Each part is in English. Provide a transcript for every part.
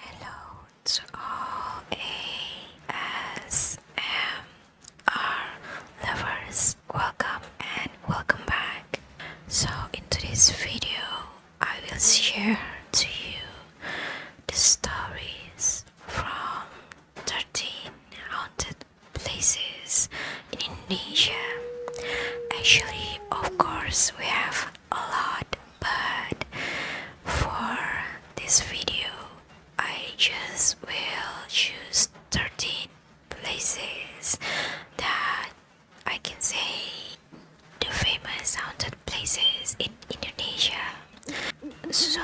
Hello to all ASMR lovers, welcome and welcome back. So, in today's video, I will share to you the stories from 13 haunted places in Indonesia. Actually, of course, we have a lot but for this video I just will choose 13 places that I can say the famous haunted places in Indonesia so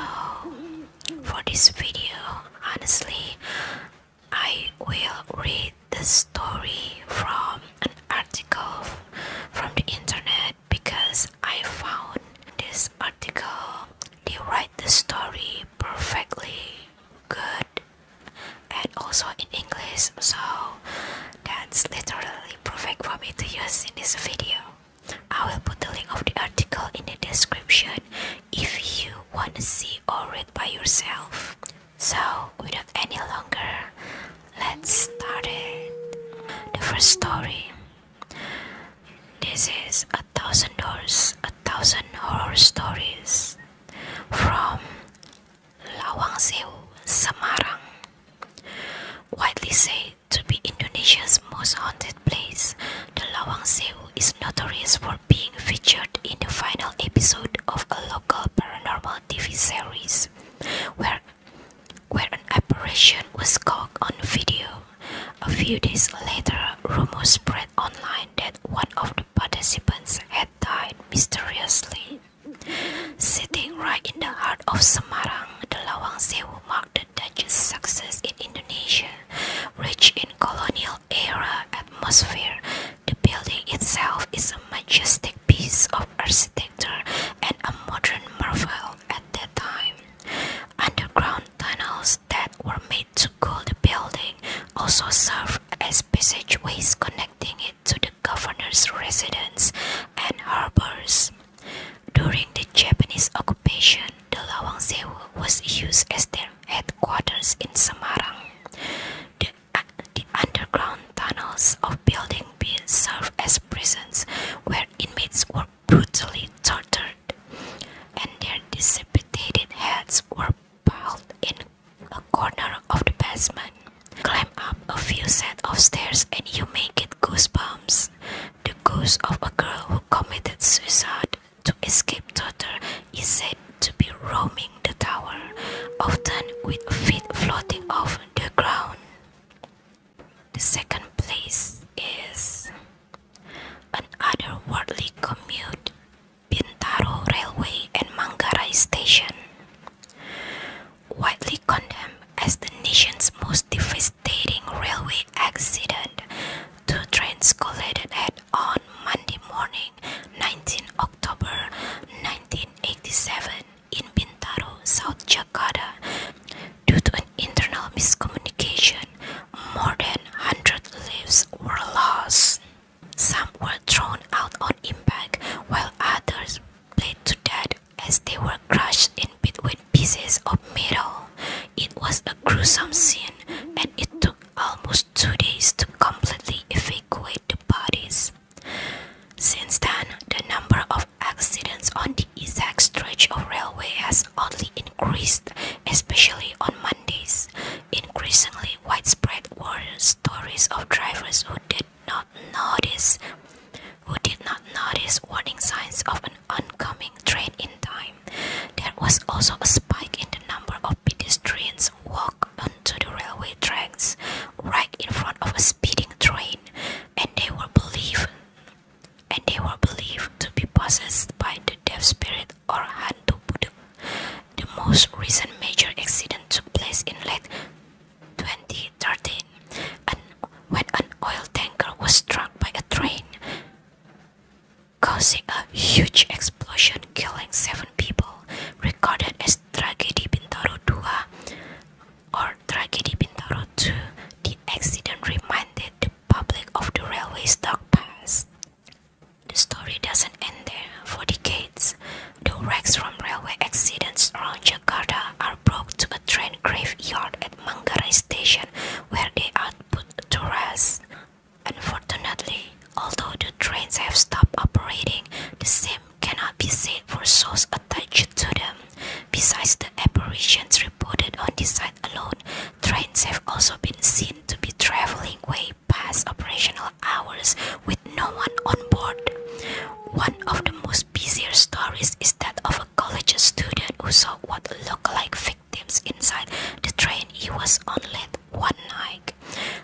for this video honestly I will read the story from an article from the internet because I found this article. They write the story perfectly good and also in English, so that's literally perfect for me to use in this video. I will put the link of the article in the description if you want to see or read by yourself. So, without any longer, let's start it. The first story. This is A Thousand Doors, A Thousand Horror Stories from Lawang Sewu, Semarang. Widely said to be Indonesia's most haunted place, the Lawang Sewu is notorious for being featured in the final episode of a local paranormal TV series where, an apparition was caught on video. A few days later, rumors spread online that one of the participants had died mysteriously. Sitting right in the heart of Semarang, the Lawang Sewu marked the Dutch's success in Indonesia, rich in colonial era atmosphere the building itself is a majestic piece of architecture and a modern marvel at that time. Underground tunnels that were made to cool the building also served as passageways connecting it to the governor's residence and harbors. During the Japanese occupation, the Lawang Sewu was used as their headquarters in Semarang the underground tunnels of Building B served as prisons where inmates were brutally tortured and their decapitated heads were piled in a corner of the basement. Climb up a few set of stairs and you may get goosebumps. The ghost of a girl who committed suicide to escape torture is said to be roaming the tower, often with feet floating off the ground. The second place is an otherworldly commute, Bintaro Railway and Manggarai Station. Widely condemned as the nation's most devastating railway accident, two trains collided head-on Monday morning, 19 October 1987 in Bintaro, South Jakarta, due to an internal miscommunication, more than 100 lives were lost. Some were thrown out on impact, while others bled to death as they were crushed in between pieces of metal. It was a gruesome scene, and it took almost two days to completely evacuate the bodies. Since then, the number of accidents on the exact stretch of railway has oddly increased, especially on Mondays. Increasingly widespread were stories of drivers who did not notice who did not notice warning signs of an oncoming train in time. There was also a spike in the number of pedestrians walked onto the railway tracks right in front of a speeding train and they were believed and they were believed to be possessed by the deaf spirit or Hantu budu. The most recent major accident took place in late 2013 when an oil tanker was struck by a train, causing a huge explosion killing seven people, recorded as Tragedi Bintaro or tragedy Bintaro 2, the accident reminded the public of the railway's dark past. The story doesn't end there. For decades, the wrecks from railway accidents around Jakarta are brought to a train graveyard at Manggarai station where they are put to rest. Unfortunately, although the trains have stopped operating, the same cannot be said for source attached to them. Besides the apparitions reported on this site alone, trains have also been seen to be traveling way past operational hours with no one on board. One of the most bizarre stories is that of a college student who saw what looked like victims inside the train he was on late one night.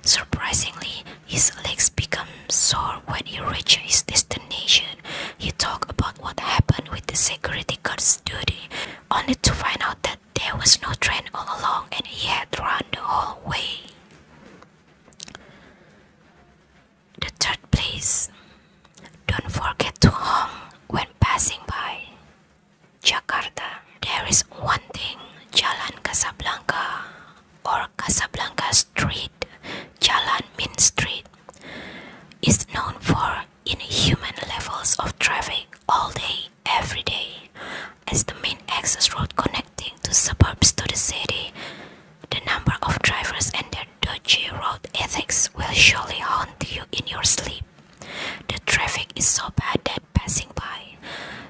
Surprisingly, his legs become sore when he reaches his destination. He talks about what happened with the security guard's duty, only to find out that there was no train all along and he had run the whole way. The third place. Don't forget to honk when passing by. Jakarta. There is one thing Jalan Casablanca or Casablanca Street, Jalan Min Street, is known for inhuman levels of traffic all day, every day. As the main access road connecting to suburbs to the city, the number of drivers and their dodgy road ethics will surely haunt you in your sleep. The traffic is so bad that passing by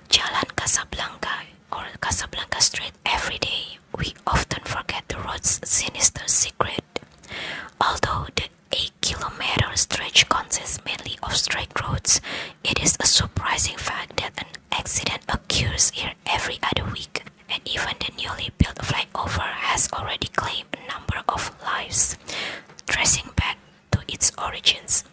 Jalan Casablanca or Casablanca Street every day we often forget the road's sinister secret. Although the 8 kilometer stretch consists mainly of straight roads, it is a surprising fact that an accident occurs here every other week, and even the newly built flyover has already claimed a number of lives, tracing back to its origins.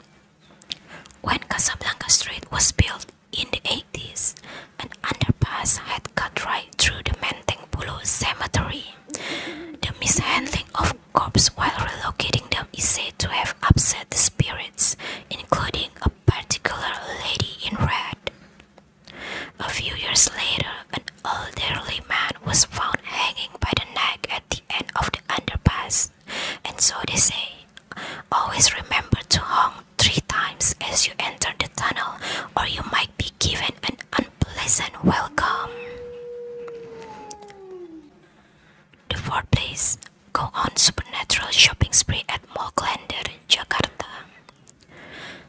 When Casablanca Street was built, in the 80s, an underpass had cut right through the Menteng Pulau Cemetery. The mishandling of corpses while relocating them is said to have upset the spirits, including a particular lady in red. A few years later, an elderly man was found hanging by the neck at the end of the underpass, and so they say, always remember to honk three times as you enter the tunnel, or you might be given an unpleasant welcome. The fourth place go on supernatural shopping spree at Mall Glander, Jakarta.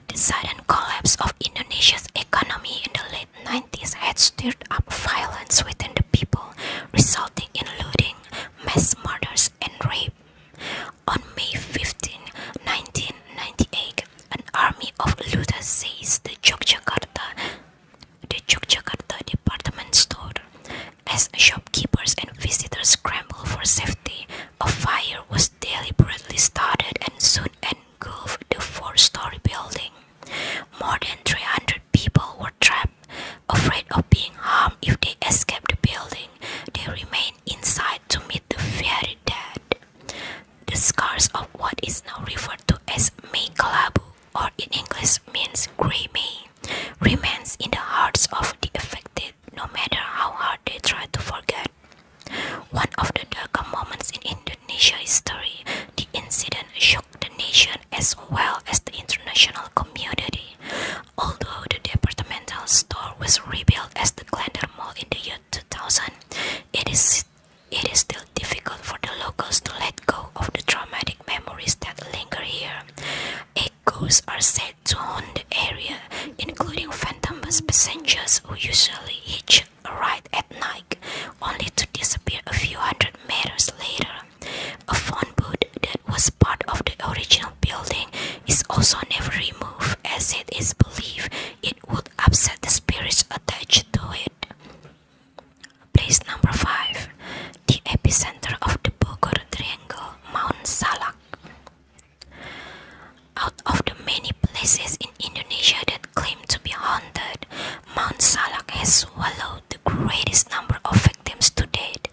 The sudden collapse of Indonesia's economy in the late 90s had stirred up violence within the people, resulting in looting, mass murders, and rape. On May 15, 1998, an army of looters seized the Yogyakarta, the Yogyakarta department store as shopkeepers and visitors scrambled for safety. A fire was deliberately started and soon engulfed the four-story building. More than 300 people were trapped, afraid of being harmed if they escaped the building they remain inside to meet the fairy dead. The scars of what is now referred to as May or in English means grey May, remains in the hearts of the affected no matter how hard they try to forget. One of the darker moments in Indonesia history, the incident shook the nation as well as the international community, Although the departmental store was rebuilt as the Glendale Mall in the year 2000, it is it is still difficult for the locals to let go of the traumatic memories that linger here. Echoes are said to haunt the area, including phantom passengers who usually hitch a ride at night, only to disappear a few hundred meters later. A phone booth that was part of the original building is also never removed as it is believed it would upset the spirits attached to it. Place number 5 The epicenter of the Bogor Triangle, Mount Salak. Out of the many places in Indonesia that claim to be haunted, Mount Salak has swallowed the greatest number of victims to date,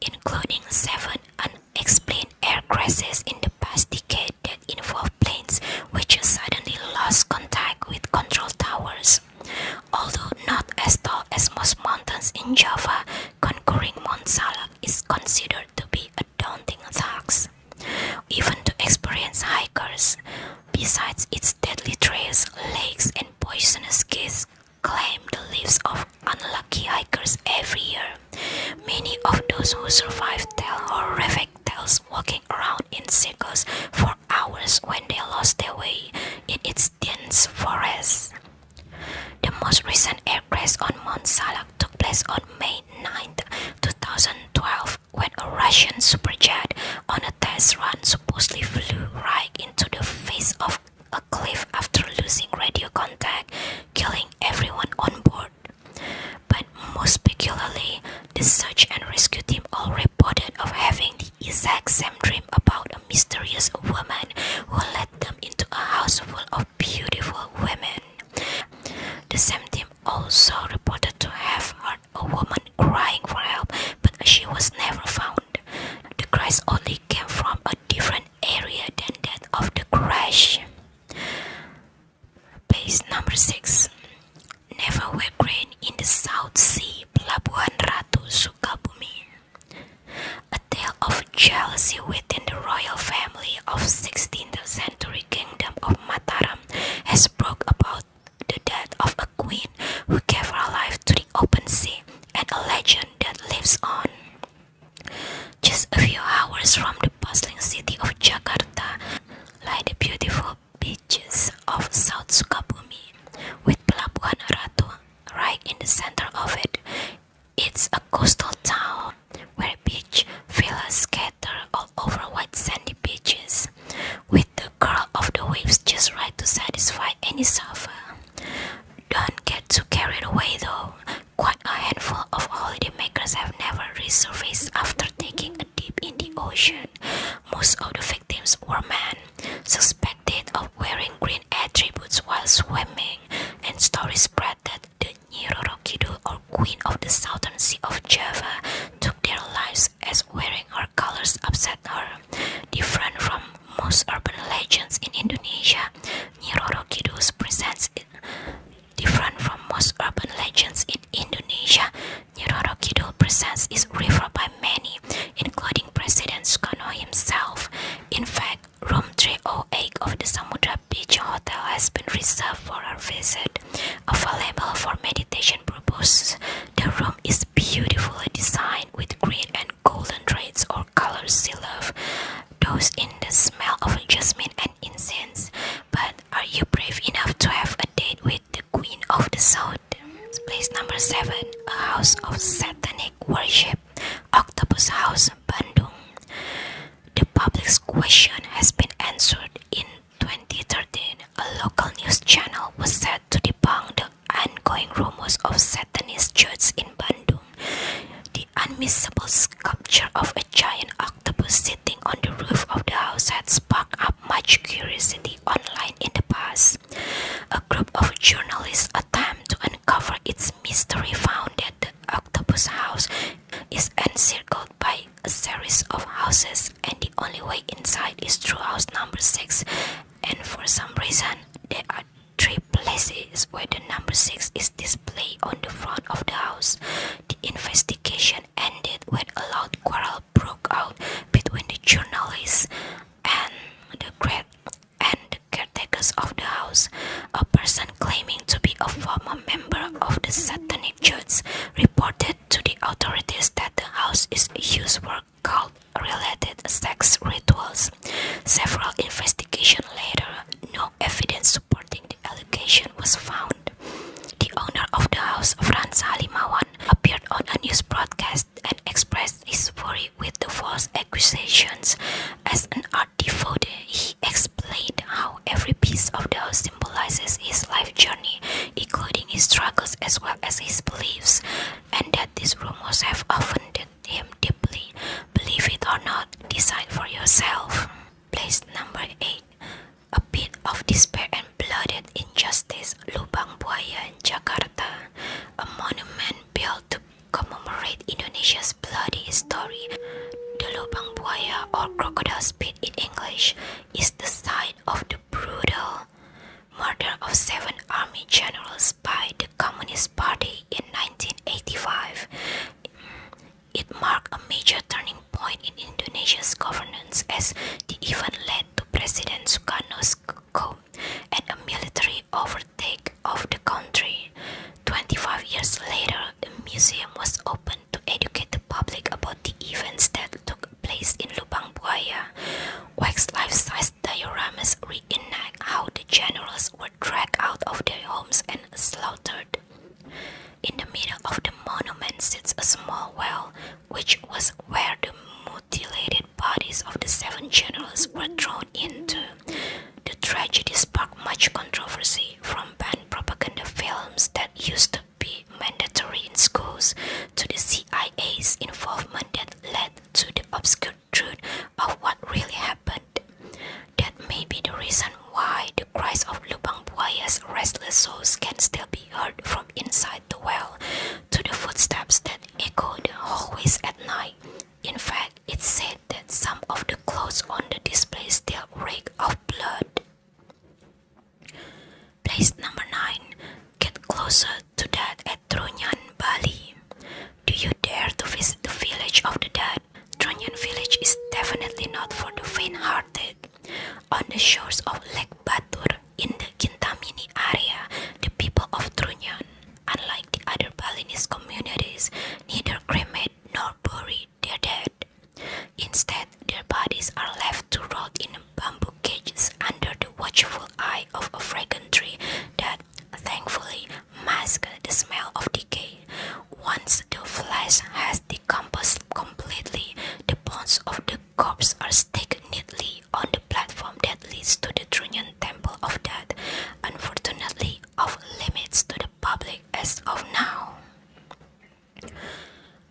including seven and. Explain air crashes in the past decade that involved planes which suddenly lost contact with control towers. Although not as tall as most mountains in Java, conquering Mount Salak is considered to be a daunting task, even to experienced hikers. Besides its deadly trails, lakes, and poisonous gas claim the lives of unlucky hikers every year. Many of those who survive tell horrific tales walking around in circles for hours when they lost their way in its dense forests. The most recent air crash on Mount Salak took place on May 9, 2012, when a Russian super jet on a test run supposedly flew right into the face of a cliff after losing radio contact killing everyone on board. But most peculiarly, the search and rescue team all reported of having the exact same dream about a mysterious woman who led them into a house full of beautiful women. The same team also reported to have heard a woman crying for help, but she was never found. The cries only came from a different area than that of the crash. Place number 6 Never wear in the South Sea, Pelabuhan Ratu Sukabumi. A tale of jealousy within the royal family of 16th century kingdom of Mataram has broke about the death of a queen who gave her life to the open sea and a legend that lives on. Just a few hours from the bustling city of Jakarta lie the beautiful beaches of South Sukabumi, with Pelabuhan Ratu right in the center of it. It's a coastal town where beach villas scatter all over white sandy beaches, with the curl of the waves just right to satisfy any surfer. Don't get too carried away though, Quite a handful of holidaymakers have never resurfaced after taking a dip in the ocean. Most of the victims were men, suspected of wearing green attributes while swimming, and stories spread that the Nyirorokidul or Queen of the Southern Sea of Java took their lives as wearing her colors upset her. Different from most urban legends in Indonesia, Nyirorokidul presents Different from most urban legends in Indonesia, Nyiroro Kidul presence is revered by many, including President Sukarno himself. In fact, room 308 of the Samudra Beach Hotel has been reserved for our visit. Available for meditation purposes, the room is beautifully designed with green and golden reds or colors she those in the smell of jasmine and incense. But are you brave enough to have a date with the Queen of the South? Place number 7 A house of satanic worship, Octopus House, Bandung. The public's question has been answered in 2013. A local news channel was set to debunk the ongoing rumors of Satanist churches in Bandung. The unmissable sculpture of a giant octopus sitting on the roof of the house had sparked up much curiosity online in the past. A group of journalists attempt to uncover its mystery found that the octopus house is encircled by a series of houses and the only way inside is through house number 6 and for some reason there are three places where the number 6 is is on the front of the house. The investigation ended when a loud quarrel broke out between the journalists and the caretakers of the house. A person claiming to be a former member of the Satanic Church reported to the authorities that the house is used for cult related sex rituals. Several investigations later, no evidence supporting the allegation was found. The owner of the house, Franz Halimawan, appeared on a news broadcast and expressed his worry with the false accusations. As an art devote, he explained how every piece of the house symbolizes his life journey, including his struggles as well as his beliefs, and that these rumors have offended him deeply. Believe it or not, decide for yourself. Place number 8. A bit of despair and blooded injustice, Lubang Buaya, Jakarta. A monument built to commemorate Indonesia's bloody story. The Lubang Buaya, or Crocodile pit in English, is the site of the brutal murder of seven army generals by the Communist Party in 1985. It marked a major turning point in Indonesia's governance as the event led to President Sukarno's coup and a military overtake of the country. 25 years later, a museum was opened to educate the public about the events that took place in Lubang Buaya. Wax life-size dioramas reenact how the generals were dragged out of their homes and slaughtered. In the middle of the monument sits a small well, which was where the mutilated bodies of the seven generals were thrown into. The tragedy sparked much controversy from banned propaganda films that used to be mandatory in schools to the CIA's involvement that led to the obscure truth of what really happened. That may be the reason why the cries of Lubang Buaya's restless souls can still be heard from inside the well to the footsteps that echo the hallways at night. In fact, it's said that some of the clothes on the display still reek of blood. Place number 9. Get closer to that at Trunyan, Bali. Do you dare to visit the village of the dead? Trunnion village is definitely not for the faint-hearted. On the shores of Lake Batur in the Kintamini area, the people of Trunnion, unlike the other Balinese communities, neither cremate nor bury their dead. Instead, their bodies are left to rot in bamboo cages under the watchful eye of a fragrant tree that, thankfully, masks the smell of decay, once the flesh has decomposed completely, the bones of the corpse are stacked neatly on the platform that leads to the Trunnion Temple of Death, unfortunately of limits to the public as of now.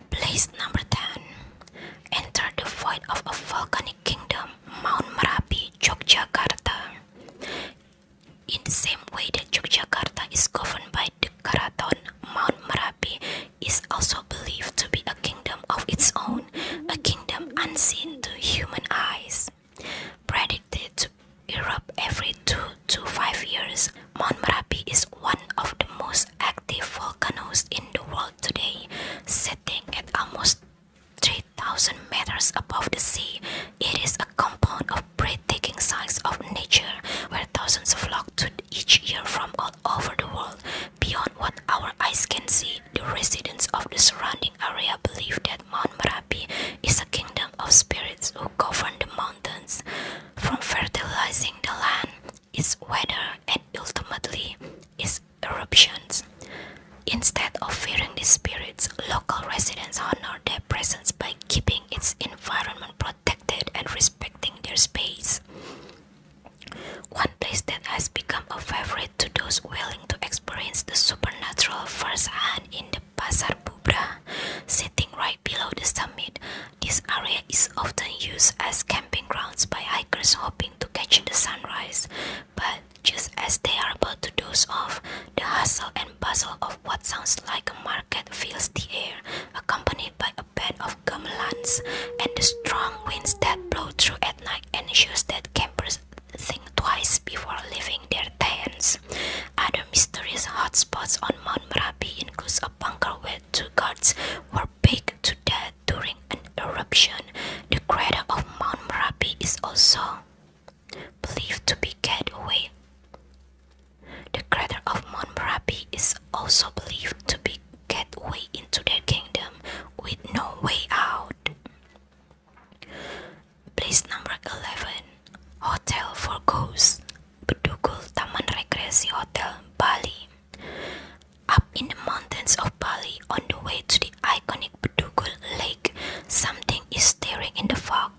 Place number 10 Enter the void of a volcanic kingdom, Mount Merapi, Yogyakarta. In the same way that Yogyakarta is governed by the Karaton, Mount Merapi is also believed to be a kingdom of its own, a kingdom unseen to human eyes. Predicted to erupt every two to five years, Mount Merapi is one of the most active volcanoes in the world today, sitting at almost 3,000 meters above the sea. It is a compound of of breathtaking sights of nature where thousands flock to each year from all over the world. Beyond what our eyes can see, the residents of the surrounding area believe that Mount Merapi is a kingdom of spirits who govern the mountains, from fertilizing the land, its weather, and ultimately its eruptions. Instead of fearing these spirits, local residents honor their presence by keeping its environment protected and respecting their space. One place that has become a favorite to those willing to experience the supernatural firsthand in the Pasar Bubra, sitting right below the summit, this area is often used as camping grounds by hikers hoping to catch the sunrise. But just as they are about to doze off, the hustle and bustle of what sounds like a market fills the air, accompanied by a band of gamelans and the strong winds that blow through at night ensures that campers think twice before leaving their tents. Other mysterious hotspots on Mount Merapi include a bunker where two guards were baked to death during an eruption. The crater of Mount Merapi is also believed to be gateway the crater of Mount Merapi is also believed to be gateway into their kingdom with no way out. Place number 11 Hotel for Ghosts Bedugul Taman Rekreasi Hotel, Bali Up in the mountains of Bali on the way to the iconic Bedugul Lake something is staring in the fog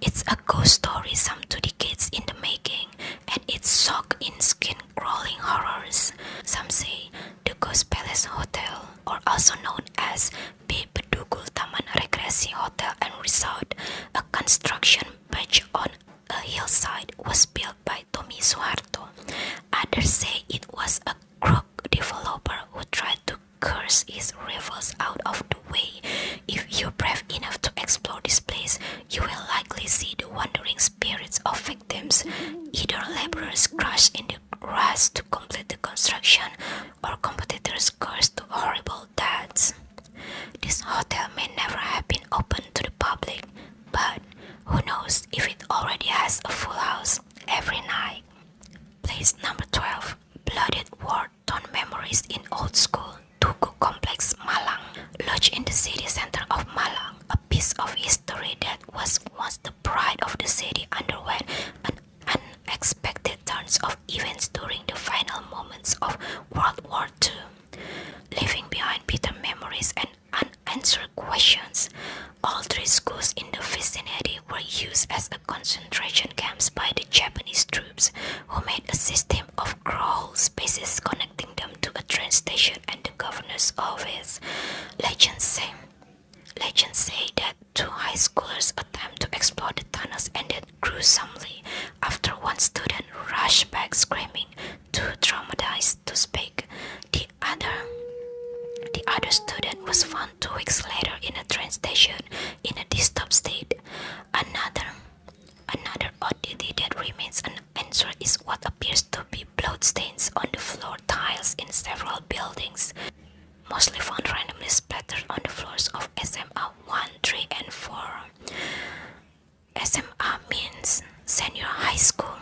it's a ghost story some two decades in the making, and it's soaked in skin-crawling horrors. Some say the Ghost Palace Hotel, or also known as Bedugul Taman Recreasi Hotel and Resort, a construction perch on a hillside, was built by Tommy Suharto. Others say it was a crook developer who tried to curse his these out of the way. If you're brave enough to explore this place, you will likely see the wandering spirits of victims. Either laborers crushed in the grass to complete the construction, or competitors cursed to horrible deaths. This hotel may never have been open to the public, but who knows if it already has a full house every night. Place number 12 Blooded Ward Town memories in old school Tugu complex Malang lodged in the city center of Malang a piece of history that was once the pride of the city underwent an unexpected turns of events during the final moments of World War II leaving behind bitter memories and unanswered questions all three schools in the vicinity were used as a concentration camps by the Japanese troops who made a system of crawl spaces connecting them to a train station and the governor's office. Legends say, legends say that two high schoolers' attempted to explore the tunnels and it gruesomely after one student rushed back screaming, too traumatized to speak. The other the other student was found two weeks later in a train station in a disturbed state. Another Another oddity that remains unanswered is what appears to be bloodstains on the floor tiles in several buildings, mostly found randomly splattered on the floors of SMA 1, 3, and 4. SMA means senior high school.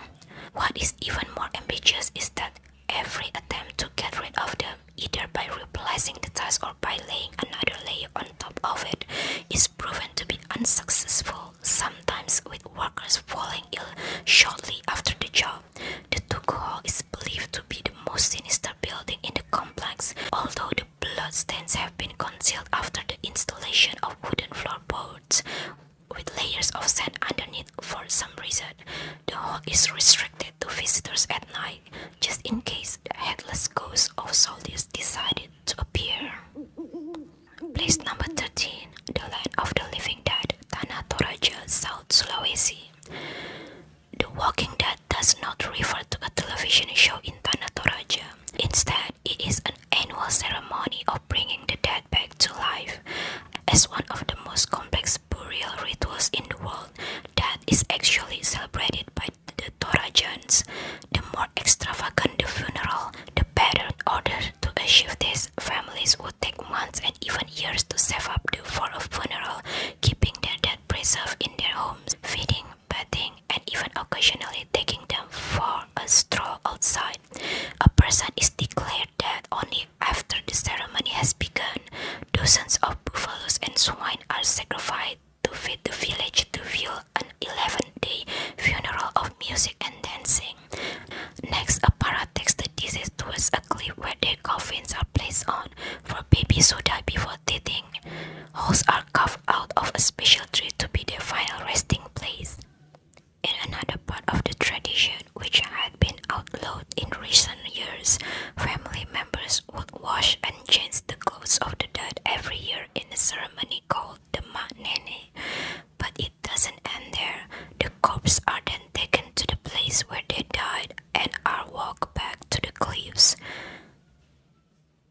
What is even more ambitious is that every attempt to get rid of them, either by replacing the tiles or by laying another layer on top of it is proven to be unsuccessful, sometimes with workers falling ill shortly after the job. The Tugu is believed to be the most sinister building in the complex, although the bloodstains have been concealed after the installation of wooden floorboards with layers of sand underneath for some reason. The hall is restricted to visitors at night, just in case the headless ghost of soldiers decided to appear. Place number 13, the land of the living dead, Tanah Toraja, South Sulawesi. The Walking Dead does not refer to a television show in Tanah Toraja. Instead, it is an annual ceremony of bringing the dead back to life. As one of the most complex burial rituals in the world, that is actually celebrated by the Torajans. The more extravagant the funeral, the better, in order to achieve this, families would take months and even years to save up for a funeral, keeping their dead preserved in their homes, feeding, bathing, and even occasionally taking them for a stroll outside. A person is declared dead only after the ceremony has begun. Dozens of buffaloes and swine are sacrificed to feed the village to view an 11-day funeral of music and dancing. Next, a parrot takes the deceased towards a cliff where their coffins are placed on for babies who die before teething. Holes are carved out of a special tree to be their final resting place. In another part of the tradition, which had been outlawed in recent years, family members would wash and change the ghosts of the dead every year in a ceremony called the Manene. But it doesn't end there. The corpses are then taken to the place where they died and are walked back to the cliffs.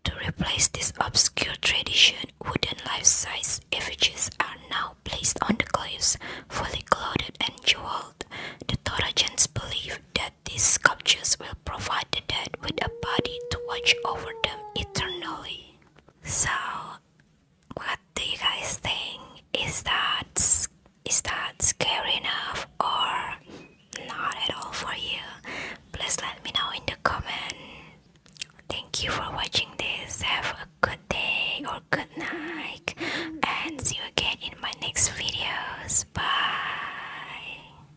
To replace this obscure tradition, wooden life-size effigies are now placed on the cliffs, fully clothed and jeweled. The Torajans believe that these sculptures will provide the dead with a body to watch over them eternally. So, what do you guys think? Is that is that scary enough or not at all for you? Please let me know in the comment. Thank you for watching this. Have a good day or good night, and see you again in my next videos. Bye.